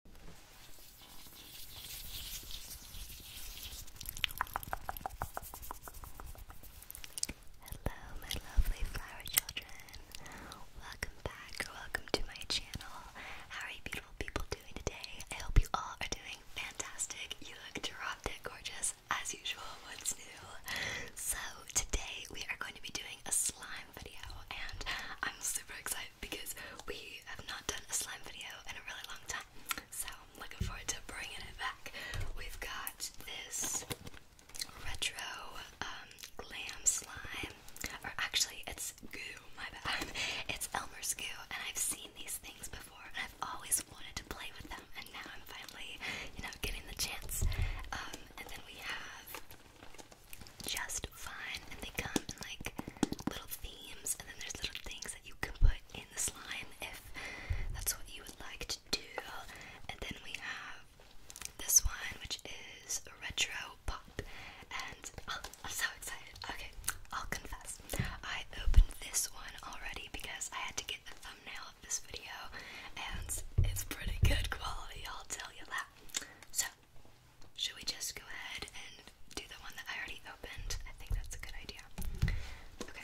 Hello, my lovely flower children. Welcome back or welcome to my channel. How are you beautiful people doing today? I hope you all are doing fantastic. You look drop dead gorgeous as usual. What's new? So, today we are going to be doing a slime video and I'm super excited because we have not done a slime video in a really long time. So I'm looking forward to bringing it back. We've got this retro um, glam slime, or actually it's goo, my bad. It's Elmer's goo and I've seen these things before I've always wanted to play with them and now I'm finally, you know, getting the chance. Um, and then we have just fun, and they come in like little themes, and then there's little things that you can put in the slime if that's what you would like to do. And then we have this one, which is retro pop, and oh, I'm so excited. Okay, I'll confess, I opened this one already because I had to get the thumbnail of this video, and it's pretty good quality. I'll tell you that. So should we just go ahead and do the one that I already opened? I think that's a good idea. Okay.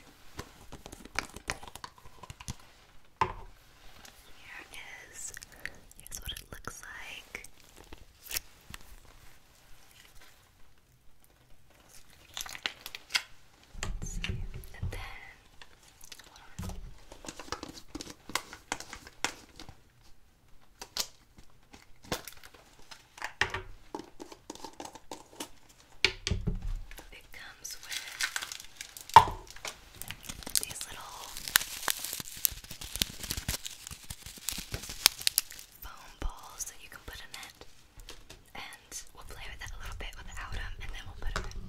Here it is. Here's what it looks like. Let's see. And then it comes with these little foam balls that you can put in it, and we'll play with it a little bit without them, and then we'll put them in.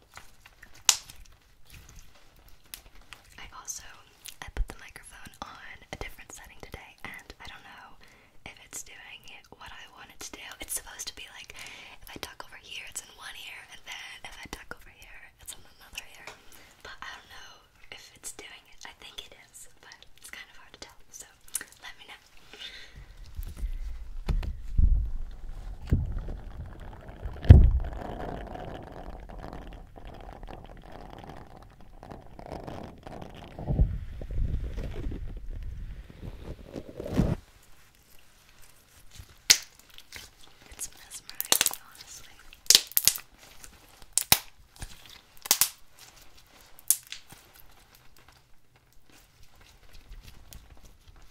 I also I put the microphone on a different setting today and I don't know if it's doing what I wanted to do. It's supposed to be like if I talk over here it's in one ear and then if I talk over here it's in another ear. But I don't know if it's doing it. I think it is, but it's kind of hard to tell. So let me know. It's mesmerizing, honestly.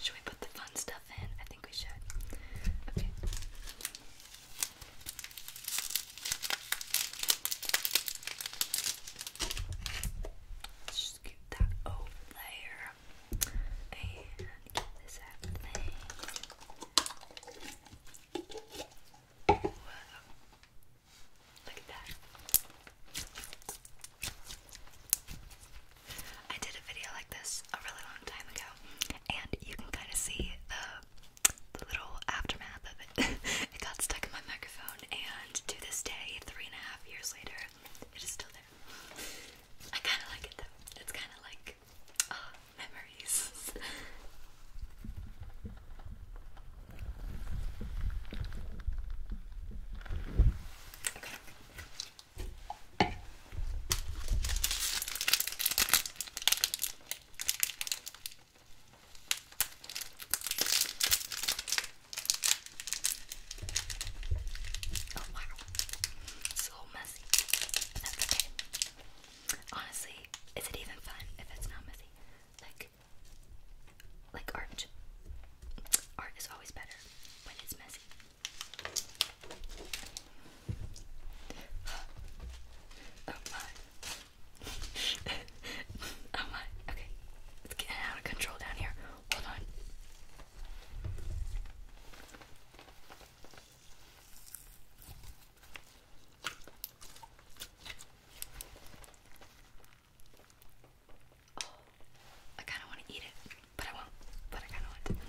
Should we put the fun stuff in? I think we should. Okay. Let's just get that over there and this thing. Look at that. I did a video like this a really long time ago, and you can kind of see the the little aftermath of it. it got stuck in my microphone, and to this day, three and a half years later, it is still there. I kind of like it though. It's kind of like ah, memories. okay. Oh wow, so messy. That's okay. Honestly, is it even fun if it's not messy? Like, like art. Art is always better when it's messy. Oh my. oh my. Okay. It's getting out of control down here. Hold on. I kind of want to eat it, but I won't. But I kind of want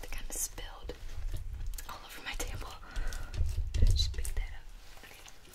They kind of spilled all over my table. I just picked that up. Okay.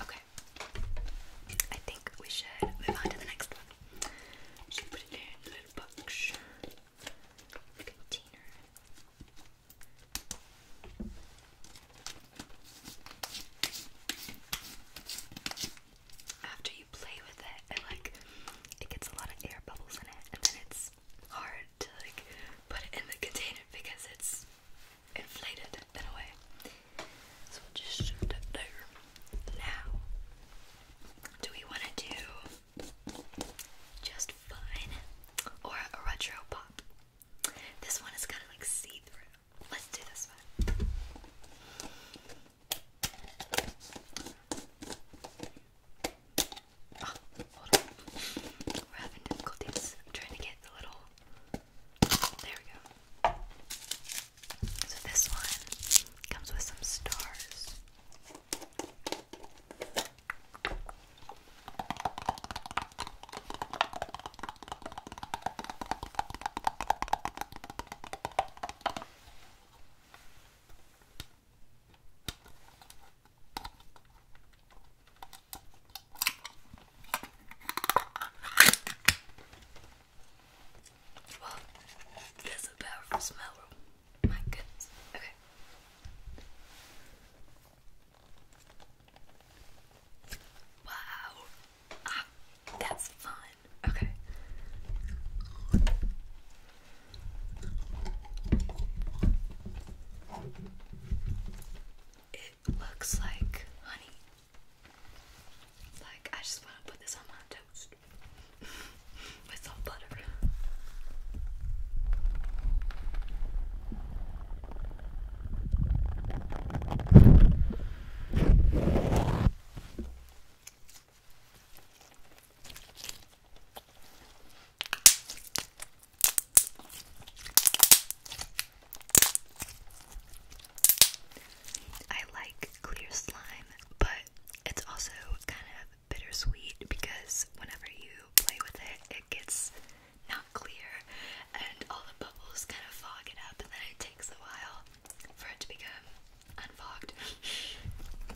Okay. I think we should move on to the next one. We put it in a little box container. After you play with it like it gets a lot of air bubbles in it, and then it's hard to like put it in the container because it's inflated in a way. So just shoot it there. Now, do we want to do just fun or a retro pop? This one is kind of like see through. Let's do this one. We're having difficulties. I'm trying to get the little. There we go. So this one comes with some stars. Well, that's a powerful smell. My goodness. Okay. Wow. Ah, that's fun. Okay. It looks like honey. Like, I just want to put this on my toast with some butter. I like clear slime, but it's also kind of bittersweet because whenever you play with it, it gets not clear and all the bubbles kind of fog it up, and then it takes a while for it to become unfogged.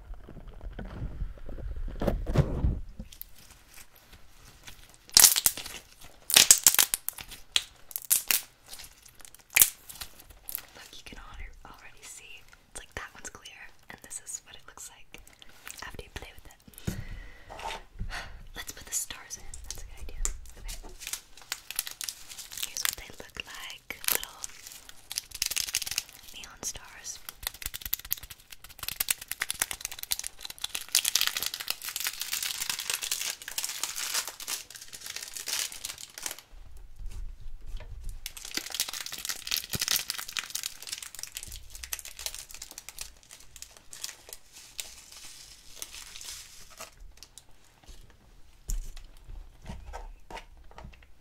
Look, you can already see. It's like that one's clear, and this is what it looks like after you play with it. Let's put the stars in. That's a good idea. Okay. Here's what they look like like neon stars.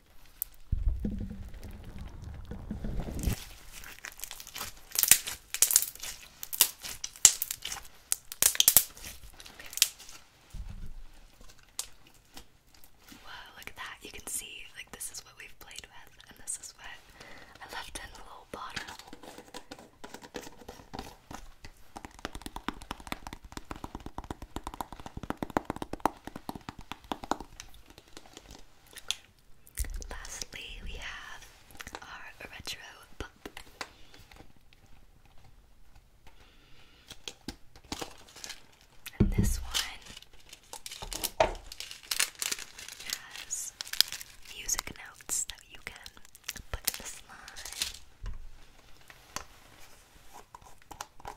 Whoa, look at that. You can see, like, this is what we've played with, and this is what I left in the little bottle. Lastly, we have our retro pop. this one has music notes that you can put in the slime.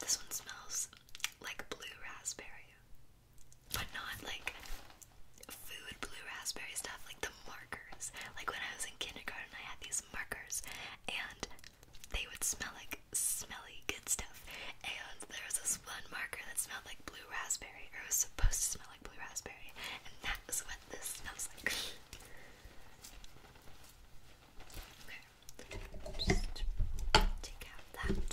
This one smells like blue raspberry but not like food blue raspberry stuff, like the markers. Like when I was in kindergarten, I had these markers, and they would smell like smelly good stuff. And there was this one marker that smelled like blue raspberry, or it was supposed to smell like blue raspberry, and that is what this smells like. okay, just take out that.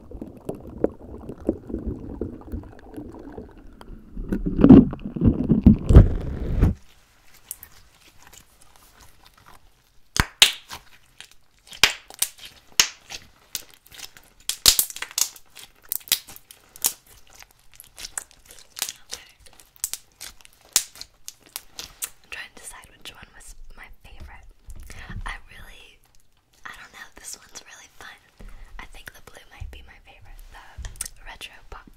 I'm trying to decide which one was my favorite. I really I don't know, this one's really fun. I think the blue might be my favorite, the retro pop.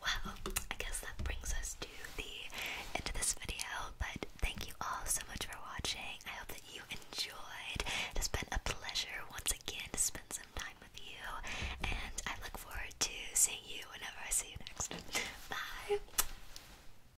Well, I guess that brings us to the end of this video, but thank you all so much for watching. I hope that you enjoyed. It has been a pleasure once again to spend some time with you, and I look forward to seeing you whenever I see you next. Bye!